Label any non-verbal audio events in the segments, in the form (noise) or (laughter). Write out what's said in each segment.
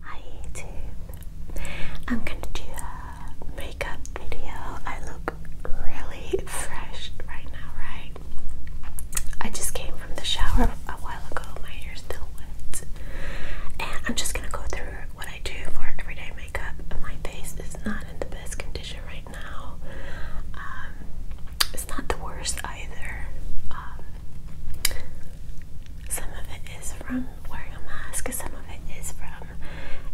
Hi YouTube. I'm gonna do a makeup video. I look really fresh right now, right? I just came from the shower a while ago. My hair's still wet. And I'm just gonna go through what I do for everyday makeup. My face is not in the best condition right now. Um, it's not the worst either. Um, some of it is from wearing a mask, some of it is from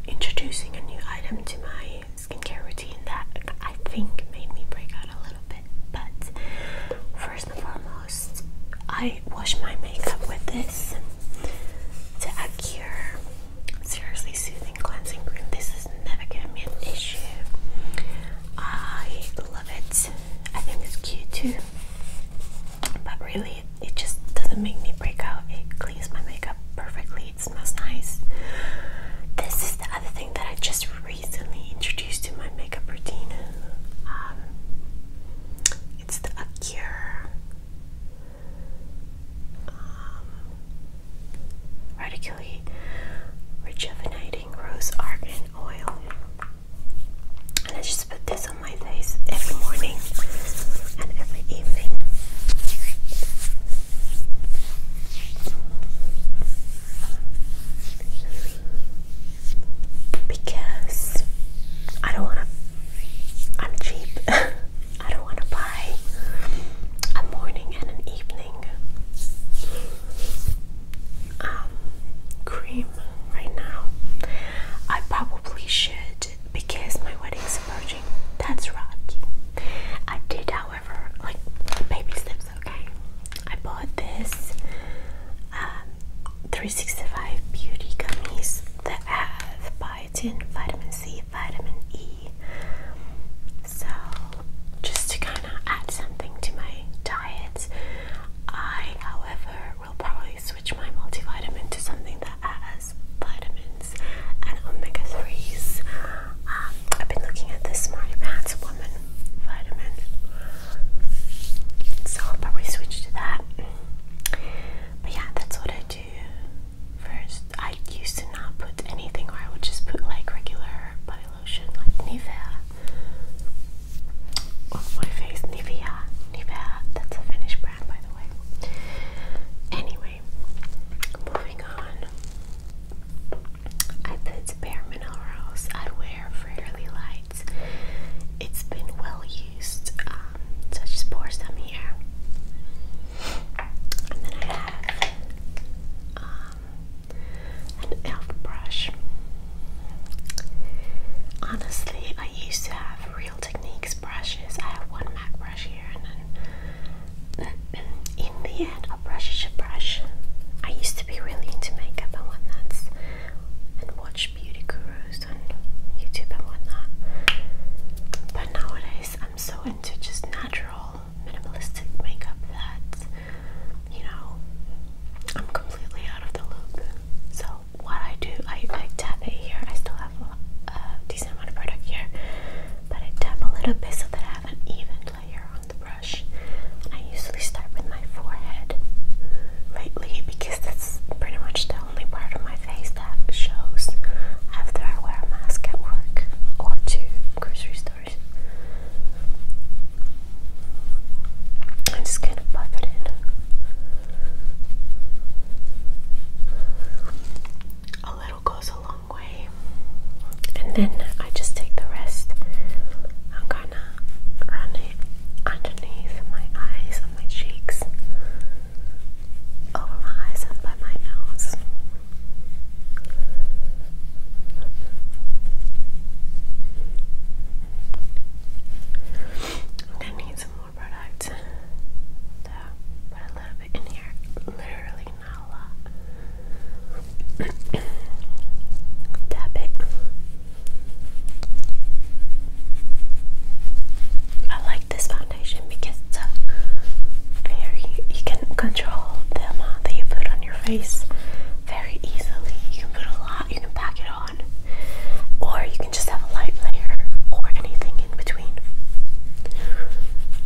introducing a new item to my skincare routine that I think made me break out a little bit. But first and foremost, I wash my makeup with this. To Acure seriously soothing cleansing cream. This is never gonna be an issue. I love it. I think it's cute too. But really, it just doesn't make me break out. It cleans my makeup perfectly. It smells nice. This is the other thing that I just recently introduced to my makeup routine. Um, it's the Acure um, radically rejuvenating rose argan oil. And I just put this on my face every morning and every evening. Because I don't want I'm cheap. (laughs) I don't want to buy a morning and an evening um, cream right now. I probably should because my wedding's is approaching. That's rocky. I did, however, like baby steps. Okay, I bought this um, 365 beauty gummies that have vitamin C, vitamin E. So, just to kind of add something to my diet, I, however, will probably switch my multivitamin to something that has vitamins and omega 3s. Um, I've been looking at this Smarty Pants Woman vitamin, so I'll probably switch to that. But yeah, that's what I do First, I used to not put anything, or I would just put like regular body lotion, like Nivea, on my face. Nivea, Nivea. That's a Finnish brand, by the way. Anyway, moving on. I put Bare Mineral I wear Fairly Lights. It's been well used, um, so I just pour some here. And then I have um, an elf brush. Honestly, I used to have Real Techniques brushes. I have one MAC brush here, and then (clears throat) in the end, a brush is brush. I used to be really into makeup and whatnot, and watch beauty gurus on YouTube and whatnot. But nowadays, I'm so into just natural, minimalistic makeup that, you know, I'm completely out of the loop. So, what I do, I, I tap it here. I still have a, decent amount of product here, but I tap a little bit so that I have an even layer on the brush. And I usually start with my forehead lately because that's pretty much the only part of my face that shows after I wear a mask at work or to grocery stores. I just kind of buff it in. A little goes a long way, and then I just take the rest. I'm gonna run it underneath my eyes and my cheeks, over my eyes and by my nose. I'm some more product. So put a little bit in here. Literally not a lot. (coughs) Tap it. I like this one because it's a, very, you can control the amount uh, that you put on your face very easily. You can put a lot, you can pack it on, or you can just have a light layer or anything in between.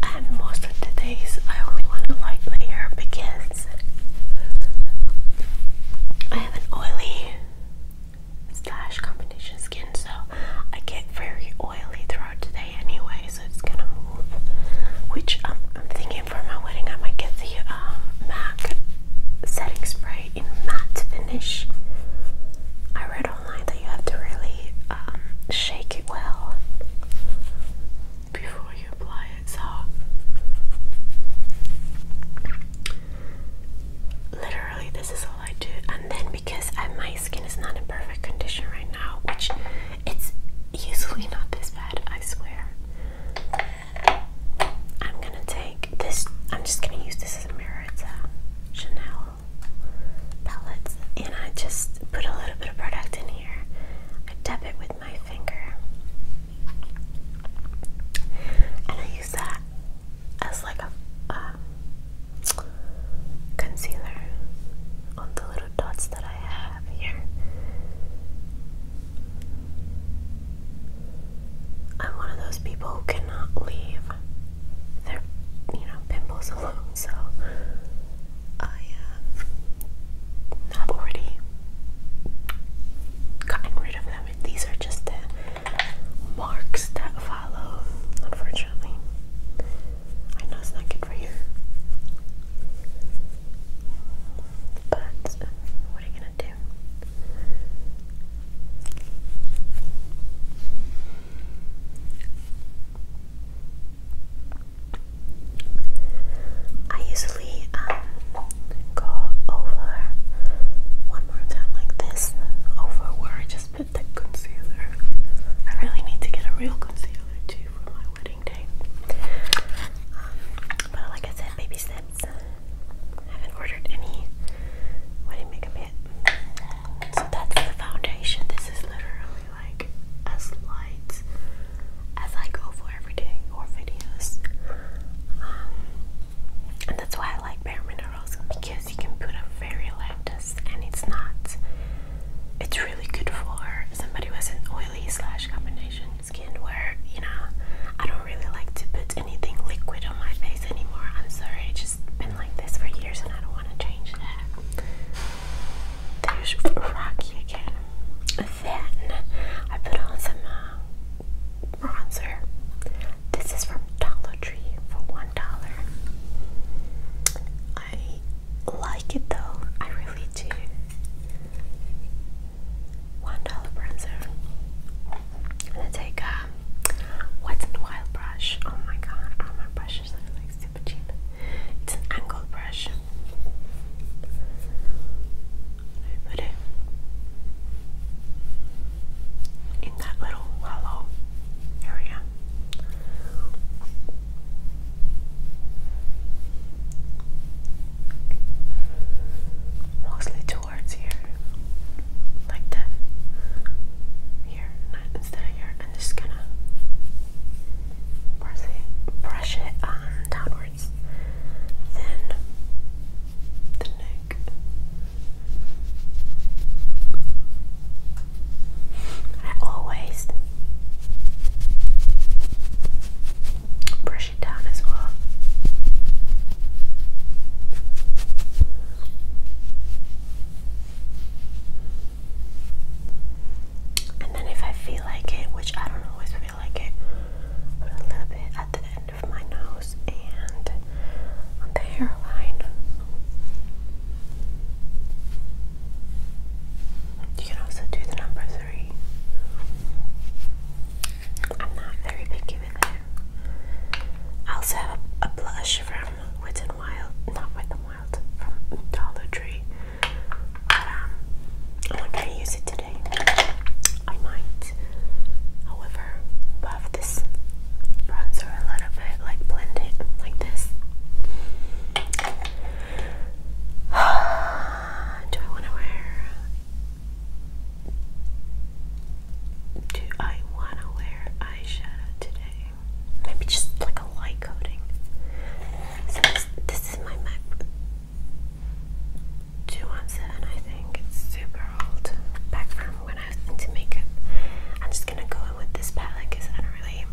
And most of today's, I only want a light layer because I have an oily slash combination skin, so I get very oily throughout today, anyways so it's gonna move. Which um, I'm thinking for my wedding, I might get the um, MAC setting spray in matte finish. I read online that you have to really um, shake it well before you apply it. So literally, this is all I do. And then because my skin is not in perfect condition right now, which it's usually not this bad, I swear. I'm gonna take this, I'm just gonna use this as a mirror. It's a Chanel palette, and I just put a little bit of product in here. I dip it with my finger, and I use that as like a um, concealer on the little dots that I have here. I'm one of those people who cannot leave their, you know, pimples (laughs) alone, so I have already gotten rid of them. these are just the marks that follow, unfortunately. I know it's not good for you. But what are you gonna do? I usually um, go over one more time like this over where I just a concealer. I really need to get a real concealer too for my wedding day. Um, but like I said, baby steps. haven't ordered any wedding makeup yet. So that's the foundation. This is literally like as light as I go for everyday or videos. Um, and that's why I like Bare Minerals because you can put a very light and it's not it's really good for somebody who has an oily slash combination skin where, you know, I don't really like to put anything liquid on my face anymore. I'm sorry, it's just been like this for years and I don't want to change that. There's Rocky again. Then I put on some uh, bronzer. This is from Dollar Tree for one dollar. I like it though, I really do. One dollar bronzer. gonna take a um, Wet n Wild brush. Oh my god, all oh, my brushes are like super cheap. It's an angle brush. I put it in that little hollow area. Mostly towards here, like that. Here, not instead of here, and just gonna brush it on um, downwards. Then the neck. I always brush it down as well. And then if I feel like it, which I don't always feel like it, put a little bit at the end of my nose and on the hairline. You can also do the number three. I'm not very picky with it. I also have a, blush from Wet n Wild, not Wet n Wild, from Dollar Tree. Um, I'm not gonna use it today. I might, however, buff this bronzer a little bit, like blend like this. (sighs) Do I want to wear? Um, do I want to wear eyeshadow today? Maybe just like a light coating. So this, is my MAC 217, I think. It's super old. Back from when I was into makeup gonna go in with this palette because I don't really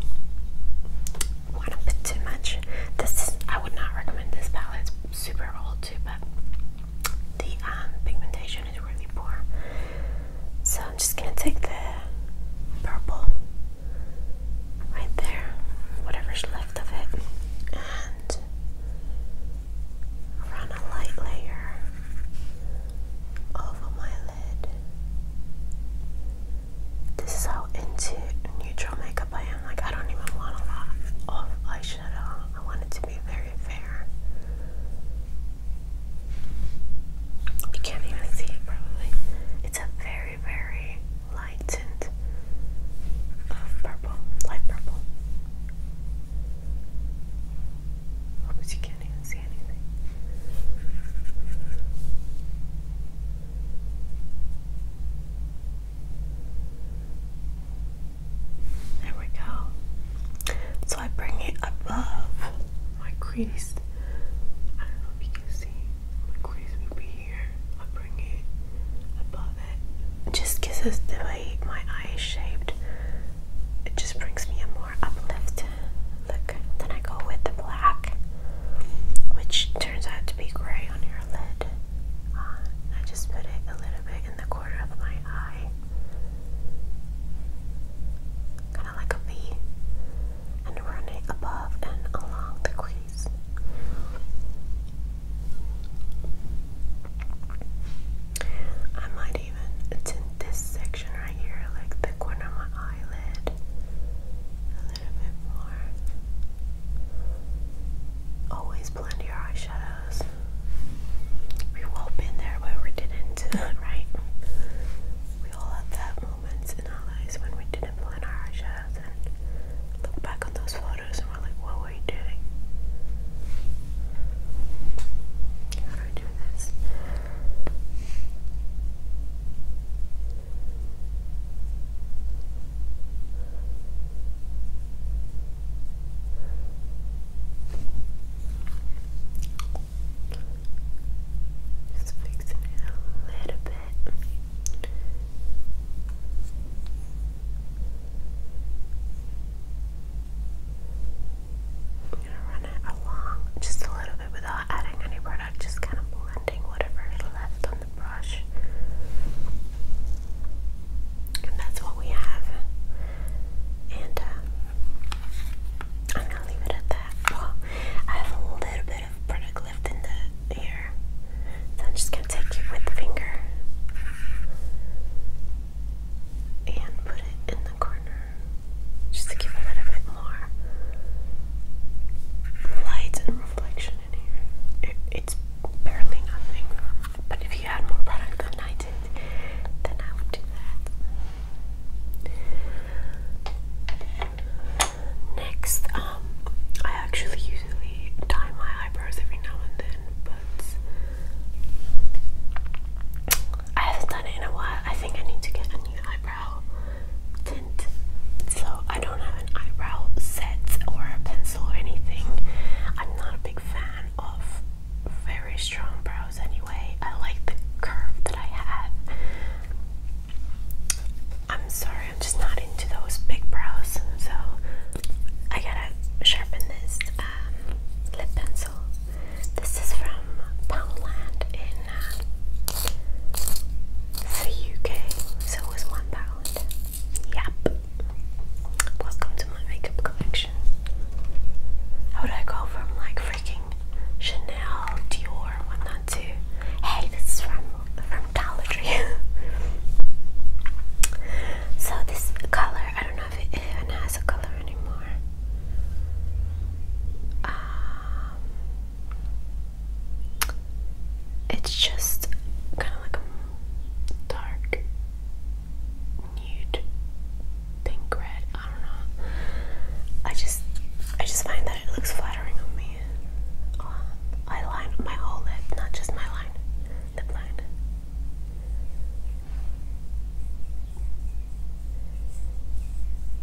want to put too much. This I would not recommend this palette. super old but the um, pigmentation is really poor. So I'm just gonna take the purple right there, whatever's left of it, and run a light layer over my lid. This is how into neutral makeup I am. Like, I don't even want a lot of eyeshadow. I want it to be very fair. You can't even see it, probably. It's a very, very light tint um, of purple, light purple. Hope you can't even see there we go. So I bring it above my crease. I don't know if you can see. My crease would be here. I bring it above it. just gives us the way my eyes shaped. It just brings me a more uplift look. Then I go with the black, which turns out to be gray on your lid. Uh, I just put it a little bit in the corner of my eye. Kind of like a V. And run it above and along the crease. I might even tint this section right here, like the corner of my eyelid. A little bit more. Always blend your eyeshadows. We've all been there where we didn't, right? We all have that moments in our lives when we didn't blend our eyeshadows and look back on those photos and we're like, what were you doing? How do I do this? Just fixing it a little bit. I'm gonna run it along just a little bit without adding any product, just kind of blend whatever is left on the brush. And that's what we have. And um, I'm gonna leave it at that. I have a little bit of product left in the ear, so I'm just gonna take it with the finger and put it in the corner just to give a little bit more light and reflection in here. it's barely nothing. But if you had more product than I did, then I would do that. Next, um, I actually usually dye my eyebrows every now and then, but I haven't done it in a while. I think I need to get a new eyebrow. So I don't have an eyebrow set or a pencil or anything. I'm not a big fan of very strong brows anyway. I like the curve that I have. I'm sorry, I'm just not into those big brows, so I gotta sharpen this um, lip pencil. This is from Poundland the UK, so it was £1. Yep. Welcome to my makeup collection. How would I go from like freaking Chanel, Dior, and whatnot to hey, this is from from Dollar Tree. (laughs) so this color, I don't know if it even has a color anymore. Um, it's just kind of like a dark nude pink red. I don't know. I just I just find that it looks flattering on me. Uh, I line my whole lip, not just my line, lip line.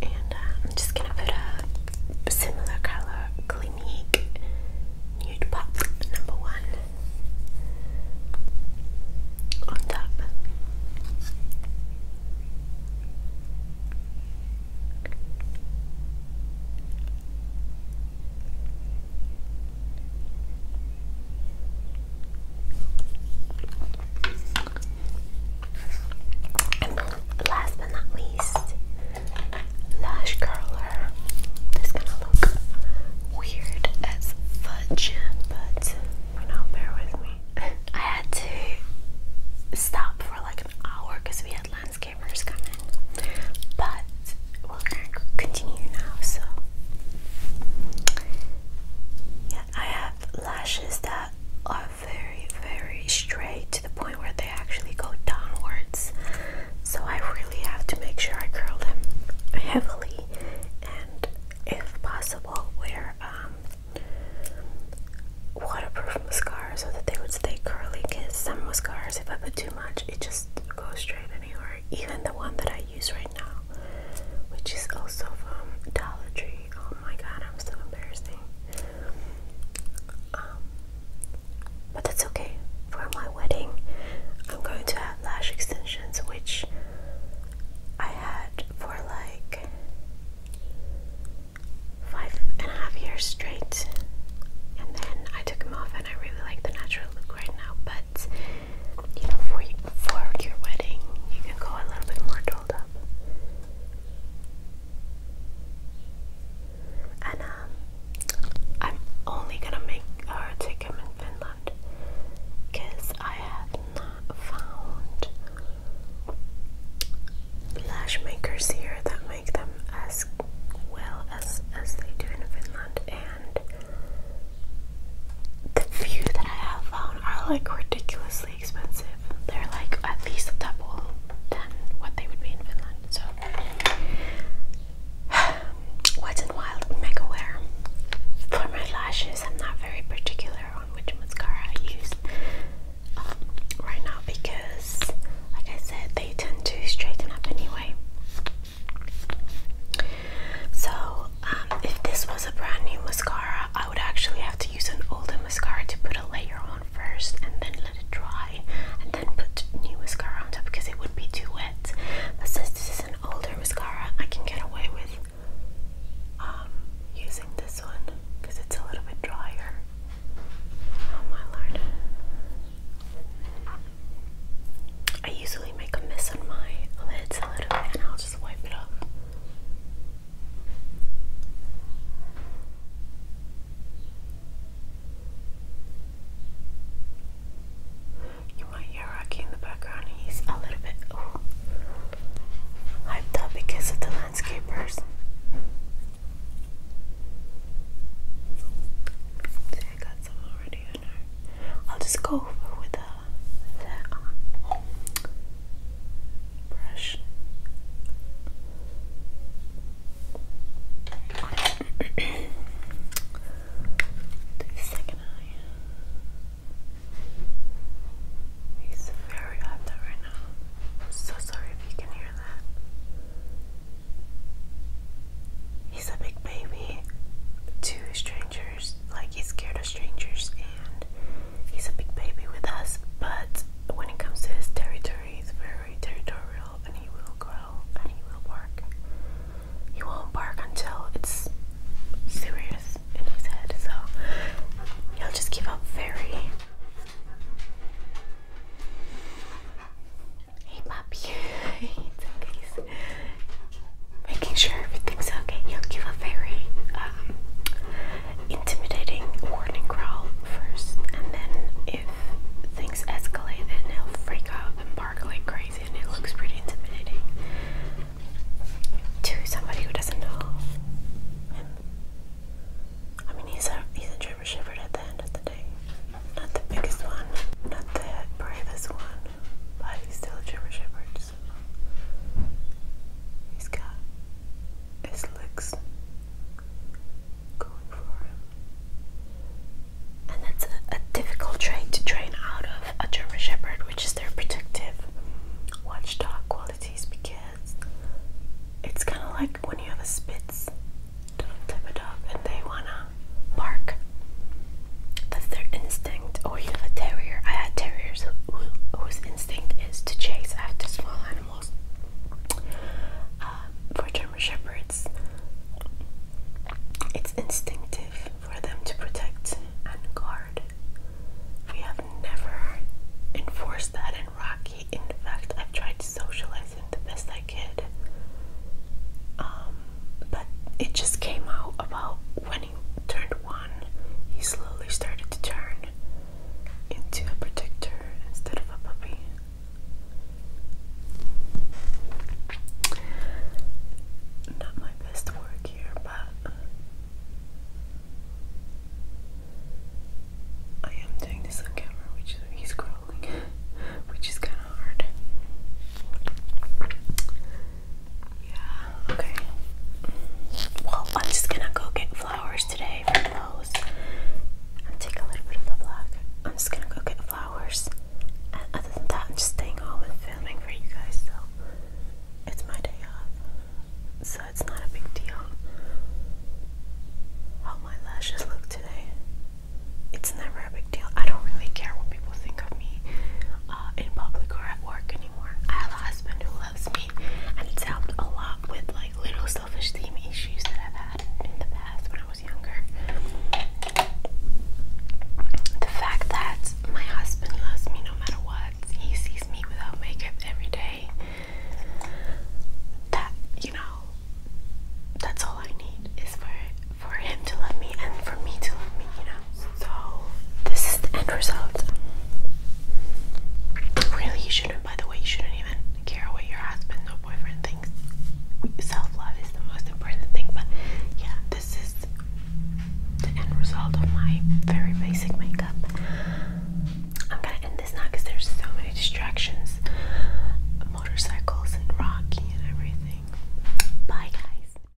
And uh, I'm just going to put a similar colour Clinique Nude Pop number one on top. And then last but not least, lash curler. This gonna look weird as fudge, but now bear with me. (laughs) I had to stop for like an hour because we had landscapers coming. But we're continue now, so yeah, I have lashes that are very, very straight to the point where they actually go downwards. So I really have to make sure I curl them heavily and, if possible, wear um, waterproof mascara so that they would stay curly. Because some mascaras, if I put too much, it just goes straight anywhere. Even the one that I use right now, which is also from Dollar Tree. Oh my god, I'm so embarrassing. Um, but that's okay. For my wedding, I'm going to add lash extensions, which I had for like five and a half years straight. And then I took them off, and I really like the natural look right now. But you know, for, for your wedding, you can go a little bit more dolled up. And um, I'm only gonna make her uh, take him in Finland I have not found lash makers here that make them as well as as they do in Finland, the few that I have found are like ridiculously expensive. They're like at least double than what they would be in Finland. So (sighs) Wet Wild Mega Wear. For my lashes, I'm not very particular on which mascara I use um, right now because, like I said, they tend to straighten up anyway. So, um, if this was a brand new mascara, I would actually have to use an older mascara to put a layer on first and then let it dry and then put new mascara on top because it would be too wet. But since this is an older mascara, I can get away with um, using this one because it's a little bit drier. Oh my lord. I usually make a mess on my lids a little bit and I'll just wipe it up. You might hear Rocky in the background, he's a little bit oh, hyped up because of the landscapers. I got some already on her. I'll just go over with uh, the, um, brush. the second eye. He's very active right now. so sorry if you can hear that. He's a big baby to a like he's scared of strangers, and he's a big baby with us. But when it comes to his territory, he's very territorial, and he will growl and he will bark. He won't bark until it's serious in his head, so he'll just give up very. (laughs) Hey, puppy. (laughs) it's okay, making sure everything's okay. He'll give a very um, intimidating warning growl first, and then if things escalate, then he'll freak out and bark like crazy, and it looks pretty intimidating to somebody who doesn't know him. I mean, he's a he's a German Shepherd at the end of the day, not the biggest one, not the bravest one. But he's still a German Shepherd, he's got his looks going for him. And that's a, difficult trait to train out of a German Shepherd, which is their protective watchdog qualities because it's kind of like when you have a Spitz type of dog and they want to bark. That's their instinct, or oh, you have a terrier. I had terriers whose instinct is to chase after small animals. Um, for German Shepherds, it's instinctive for them to protect and guard. We have never enforced that in Rocky. In fact, I've tried to socialize him the best I could. Um, but it just came out about when he turned one, he slowly started to turn into a protector instead of a puppy. Not my best work here, but I am doing this on camera, which he's growling, (laughs) which is kind of hard. Yeah, okay. Well, I'm just gonna go get flowers today for those. And take a little bit of the black. I'm just gonna go get flowers. And other than that, I'm just staying home and filming for you guys, so it's my day off. So it's not a big deal how my lashes look today. It's never a big deal. I don't really care what people think of me. Uh, in public or at work anymore. I have a husband who loves me, and it's helped a lot with like little self-esteem issues that I've had in the past when I was younger. The fact that my husband loves me no matter what, he sees me without makeup every day. That you know, that's all I need is for for him to love me and for me to love me. You know, so this is the end result. Really, you shouldn't. By the way, you shouldn't even care what your husband or boyfriend thinks. Self love is the most important thing. But yeah, this is the end result of my very basic makeup. I'm gonna end this now because there's so many distractions, motorcycles and Rocky and everything. Bye, guys.